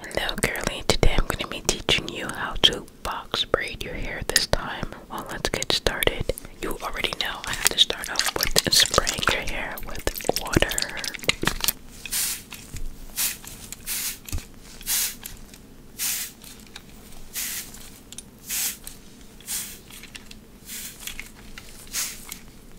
Hello girly, today I'm going to be teaching you how to box braid your hair this time. Well, let's get started. You already know I have to start off with spraying your hair with water.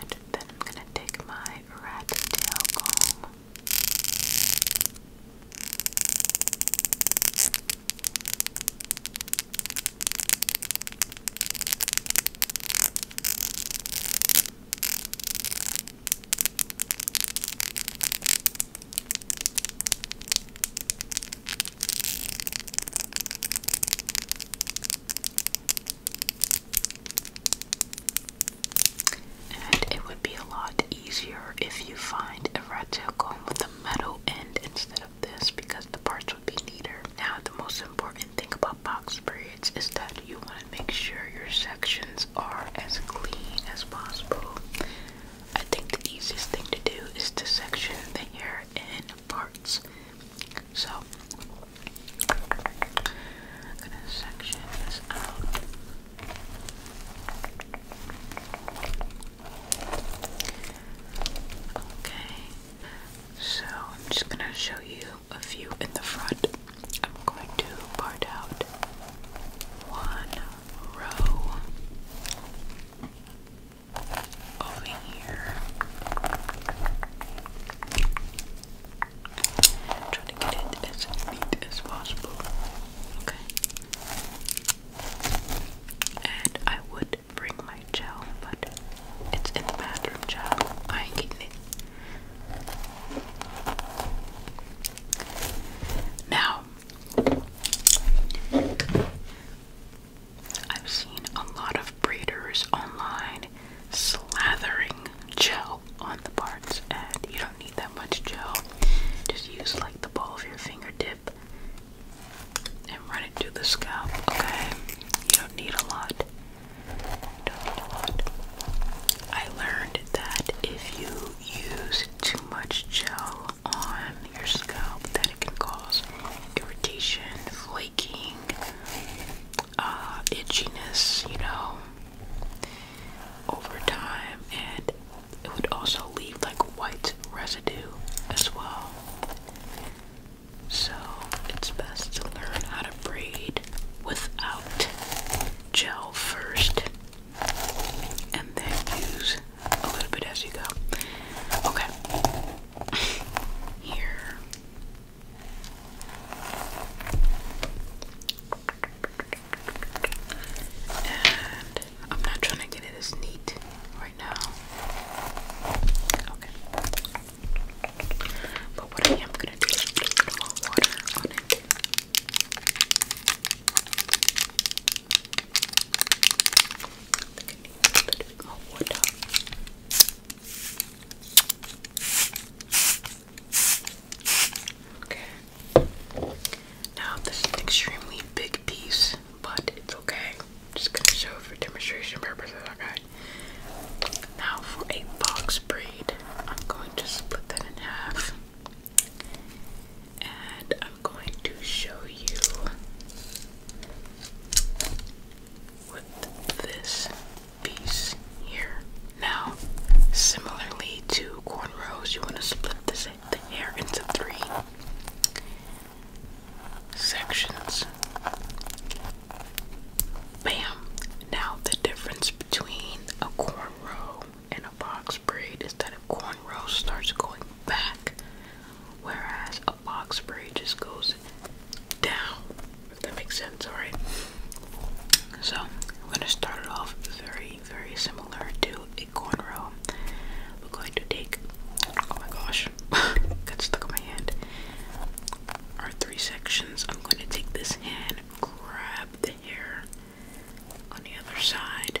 and then I'm gonna take my rat tail comb. And it would be a lot easier if you find a rat tail comb with a metal end instead of this because the parts would be neater. Now, the most important thing about box braids is that you want to make sure your sections are as clean as possible. I think the easiest thing to do is to section the hair in parts. So, I'm gonna section this out. Okay, so I'm just gonna show you a few in the front. I'm going to part out one row over here. Try to get it as neat as possible. Okay. And I would bring my gel, but it's in the bathroom gel. I ain't getting it. Now I've seen a lot of breeders online slathering gel on the parts, and you don't need that much gel. Just use like the ball of your fingertip and run it through the scalp, okay? You don't need a lot. You don't need a lot. I learned that if you use too much gel on your scalp that it can cause irritation, flaking, uh, itchiness, you know, over time, and it would also leave like white residue as well. So it's best to learn how to braid without gel first and then use a little bit as you go. Okay. Here. And I'm not trying to get it as neat right now. Okay. But what I am gonna do is put a little water on it. Okay. Now this is an extremely big piece, but it's okay. just gonna show for demonstration purposes, okay? Now for a box braid, I'm going to split that in half and I'm going to show you with this piece here. Now, similarly to cornrows, you want to split this, the hair into three sections. Bam! Now, the difference between a cornrow and a box braid instead of cornrows starts going back, whereas a box braid just goes down. If that makes sense, alright? So, I'm going to start it off very, very similar to a cornrow. We're going to take, oh my gosh, got stuck in my hand. Our three sections. I'm going to take this hand, grab the hair on the other side,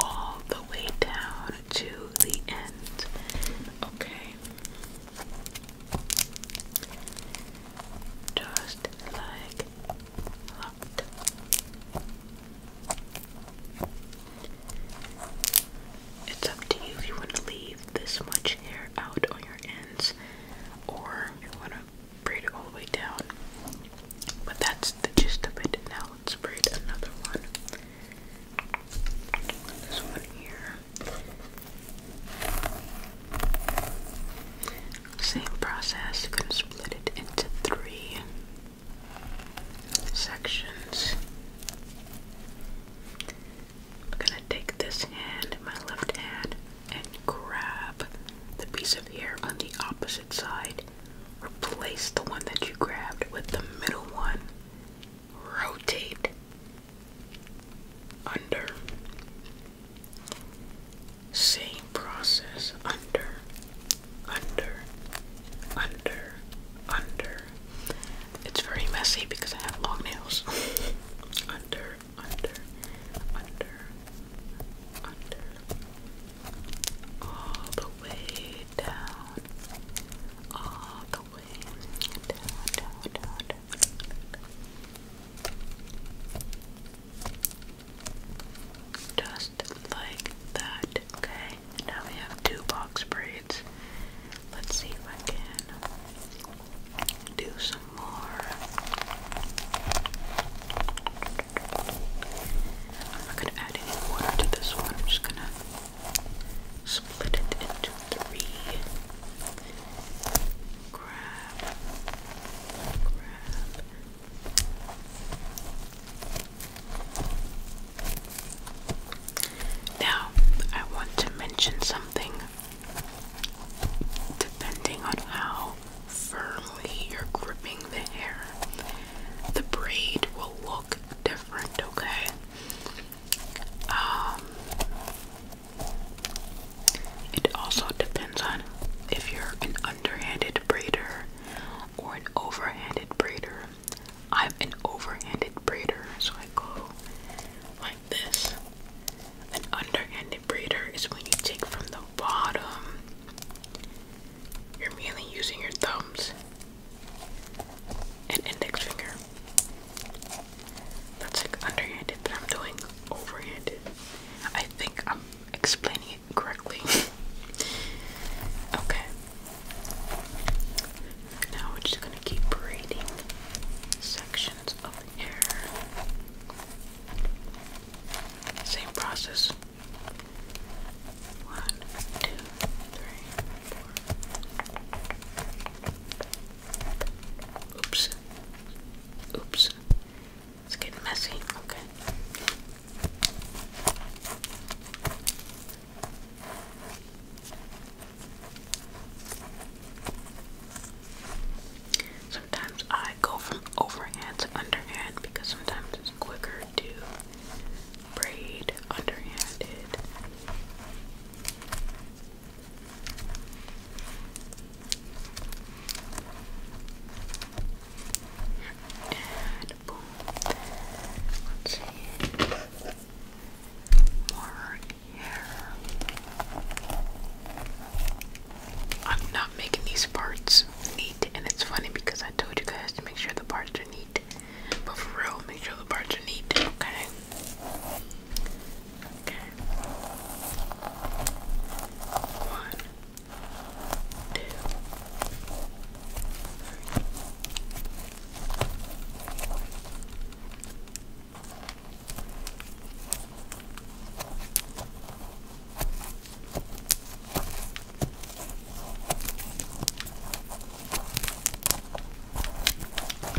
all the way down to the end. Okay. Just like that. It's up to you if you want to leave this much hair out on your ends or you want to braid all the way down. But that's the gist of it. Now let's braid another one. This one here. Same process. you gonna split it into three sections. gonna take this hand, my left hand, and grab the piece of hair on the opposite side. Replace the one that you grabbed with the middle one. Rotate under. Same process under, under, under, under. It's very messy because I have long nails. under, under, under, under, all the way down, all the way down, down, down, Just like that, okay? Now we have two box braids. Let's see if I can do I'm not gonna add any water to this one. I'm just gonna split it into three. Grab, grab. Now, I want to mention something depending on how firmly you're gripping the hair. The braid will look different, okay? Um, it also depends on if you're an underhanded braider or an overhanded braider. I'm an overhanded braider, so I go like this an underhanded breeder is when you take from the bottom. You're mainly using your thumbs and index finger. That's like underhanded, but I'm doing overhanded. I think I'm explaining it correctly. okay. Now we're just gonna keep braiding sections of hair. Same process. One, two, three, four. Oops. Oops. It's getting messy. Okay sometimes I go from overhand to underhand because sometimes it's quicker to braid underhanded. I'm not making these parts neat, and it's funny because I told you guys to make sure the parts are neat. But for real, make sure the parts are neat, Okay. One, two, three. Look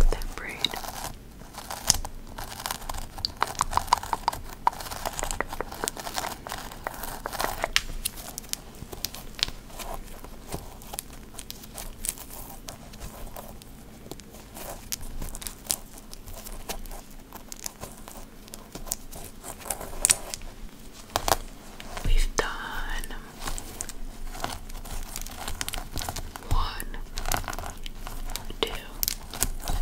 at that braid. We've done one, two,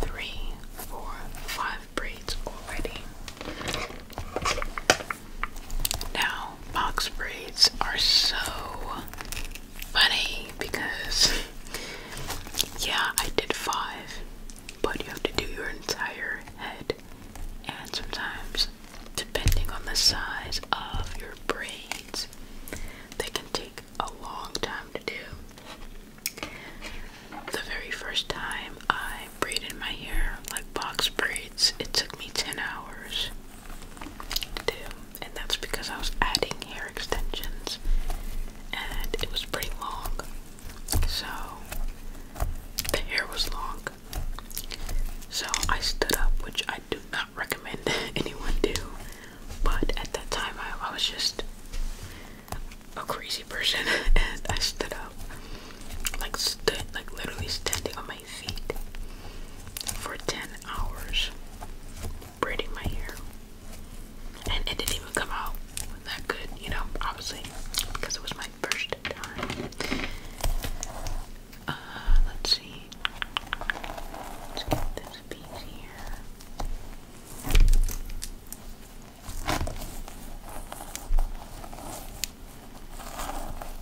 three, four, five braids already. Now, box braids are so funny because yeah, I did five, but you have to do your entire head, and sometimes, depending on the size of your braids, they can take a long time to do. The very first time I braided my hair like box braids, it took me 10 hours and that's because I was adding hair extensions and it was pretty long, so the hair was long. So I stood up, which I do not recommend anyone do, but at that time I was just a crazy person and I stood up. Like stood like literally standing on my for 10 hours braiding my hair. And it didn't even come out that good, you know, obviously, because it was my first time. Uh, let's see. Let's get this piece here.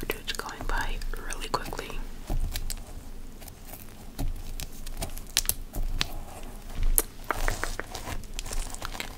Dodude's going by really quickly.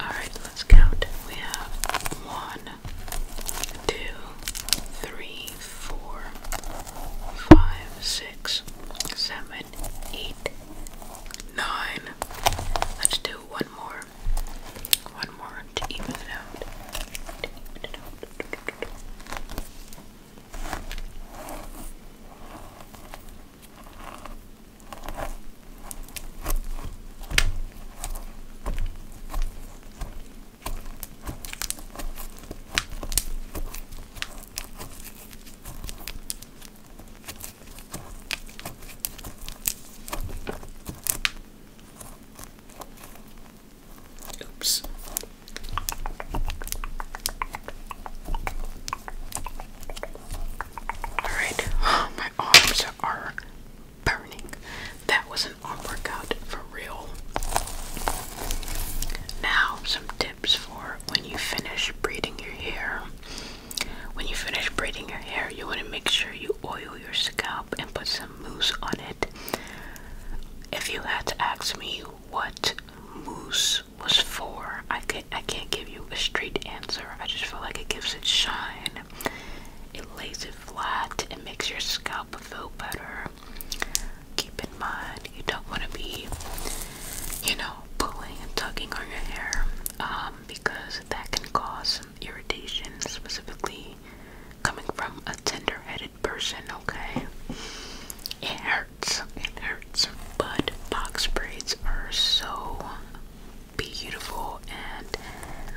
All right, let's count. We have one, two, three, four, five, six, seven, eight, nine. Let's do one more. One more to even it out. Oops. Alright, my arms are burning. That was an arm workout for real. Now, some tips for when you finish braiding your hair. When you finish braiding your hair, you want to make sure you oil your scalp and put some some mousse on it. If you had to ask me what mousse was for, I could I can't give you a straight answer. I just feel like it gives it shine. It lays it flat. It makes your scalp feel better. Keep in mind you don't want to be, you know, pulling and tugging on your hair um, because that can cause some irritation, specifically coming from a tender headed person, okay? It hurts. It hurts. But box braids are so beautiful and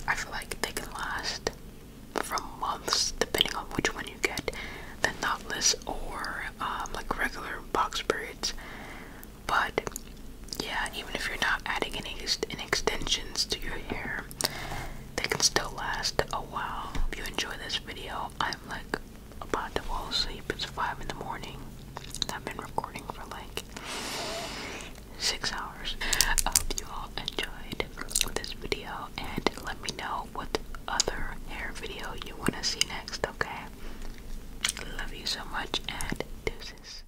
I feel like they can last from months depending on which one you get the knotless or um, like regular box braids. But yeah, even if you're not adding any, extensions to your hair, they can still last a while. If you enjoy this video, I'm like about to fall asleep. It's 5 in the morning. I've been recording for like 6 hours. I hope you all enjoyed this video and let me know what other hair video you want to see next, okay? Love you so much and deuces.